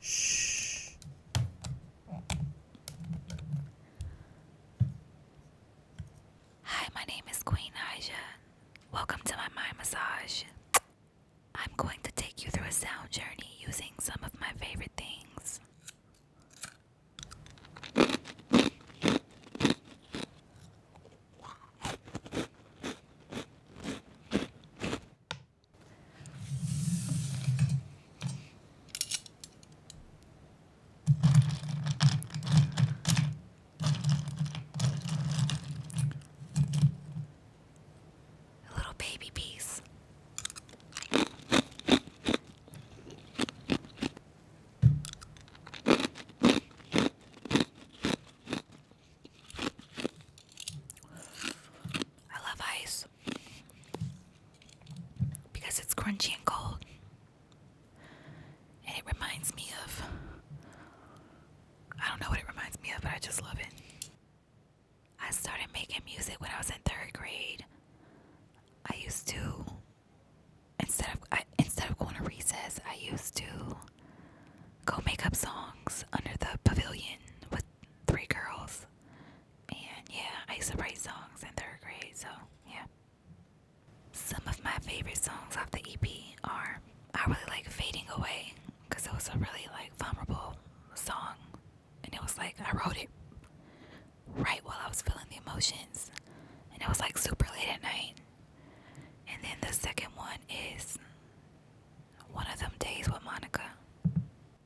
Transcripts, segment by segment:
Shh. Hi, my name is Queen Aja. Welcome to my mind massage. I'm going to take you through a sound journey using some of my favorite things. A little baby piece. I love ice because it's crunchy and cold. And it reminds me of. I don't know what it reminds me of, but I just love it. I started making music when I was in third grade. I used to. Instead of instead of going to recess, I used to go make up songs under the pavilion with three girls. And yeah, I used to write songs and they're great. so yeah. Some of my favorite songs off the EP are I really like Fading Away because it was a really like vulnerable song. And it was like I wrote it right while I was feeling the emotions. And it was like super late at night. And then the second one is one of them days with Monica.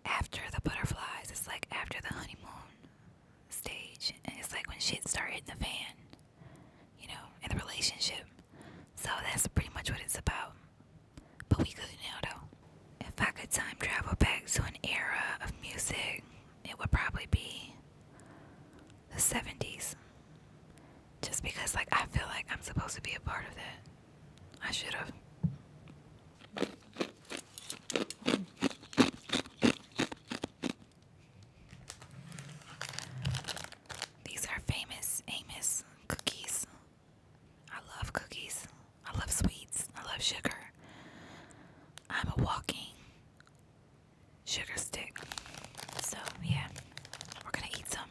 After the butterflies, it's like after the honeymoon stage, and it's like when shit started in the fan, you know, in the relationship. So that's pretty much what it's about. But we could good know, though. If I could time travel back to an era of music, it would probably be the 70s just because like I feel like I'm supposed to be a part of that. I should have. These are famous Amos cookies. I love cookies. I love sweets. I love sugar. I'm a walking sugar stick. So, yeah, we're gonna eat some.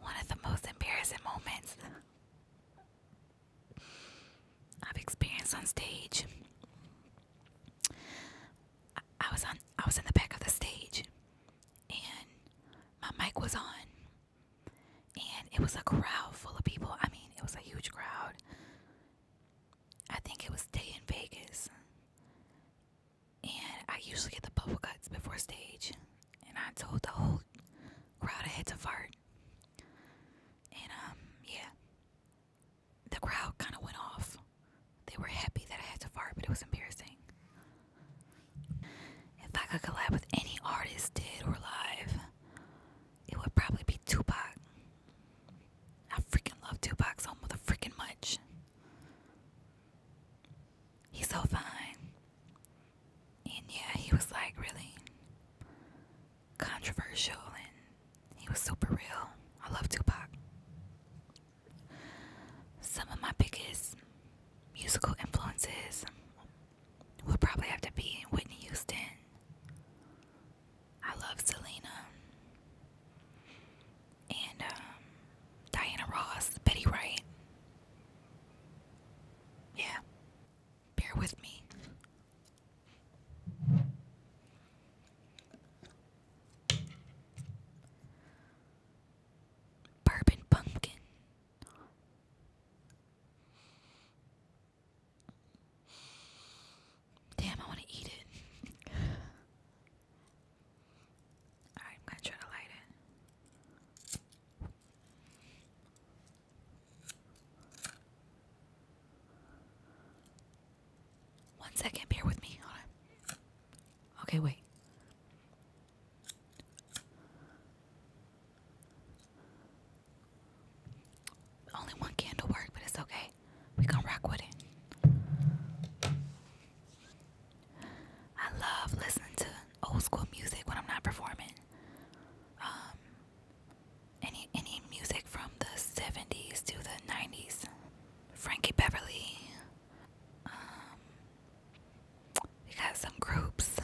One of the most embarrassing moments I've experienced on stage. I, was on I was in the back of the stage and my mic was on and it was a crowd full of people. I mean it was a huge crowd. I think it was day in Vegas and I usually get the bubble guts before stage. And I told the whole crowd I had to fart. And um, yeah, the crowd kind of went off. They were happy that I had to fart, but it was embarrassing. If I could collab with any artist, dead or alive, it would probably be Tupac. I freaking love Tupac so mother freaking much he's so fine. And yeah, he was like really controversial and he was super real. I love Tupac. Some of my biggest musical influences would probably have to be Whitney Houston. I love Selena and um, Diana Ross, Betty Wright. Yeah, bear with me. Bourbon pumpkin. Damn, I want to eat it. Alright, I'm gonna try to light it. One second, bear with me. Okay, wait. Only one candle worked, but it's okay. We gonna rock with it. I love listening to old school music when I'm not performing. Um, any any music from the '70s to the '90s, Frankie Beverly. Um, we got some groups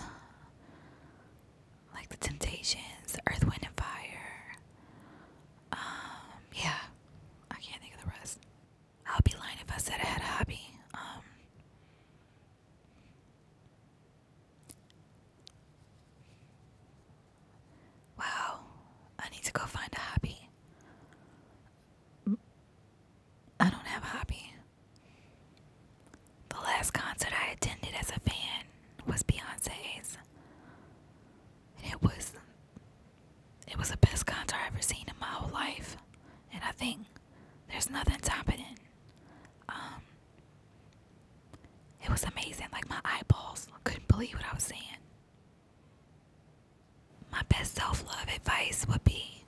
like the Temptations, Earth, Wind and Fire. Um, yeah, I can't think of the rest. I'll be lying if I said I had a hobby. Um, wow, I need to go find a hobby. I don't have a hobby. The last concert I attended as a fan was Beyonce's. it was it was the best concert I ever seen in my whole life. And I think there's nothing happening. Um, it was amazing. Like my eyeballs couldn't believe what I was saying. My best self love advice would be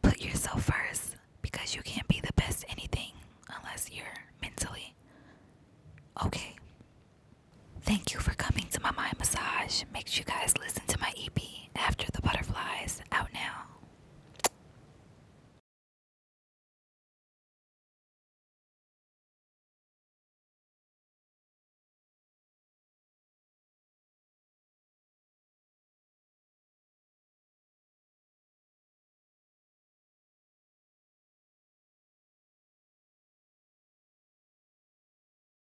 put yourself first because you can't be the best anything unless you're mentally okay. Thank you for coming to my mind massage. Make sure you guys listen to my EP. After the Butterflies, out now.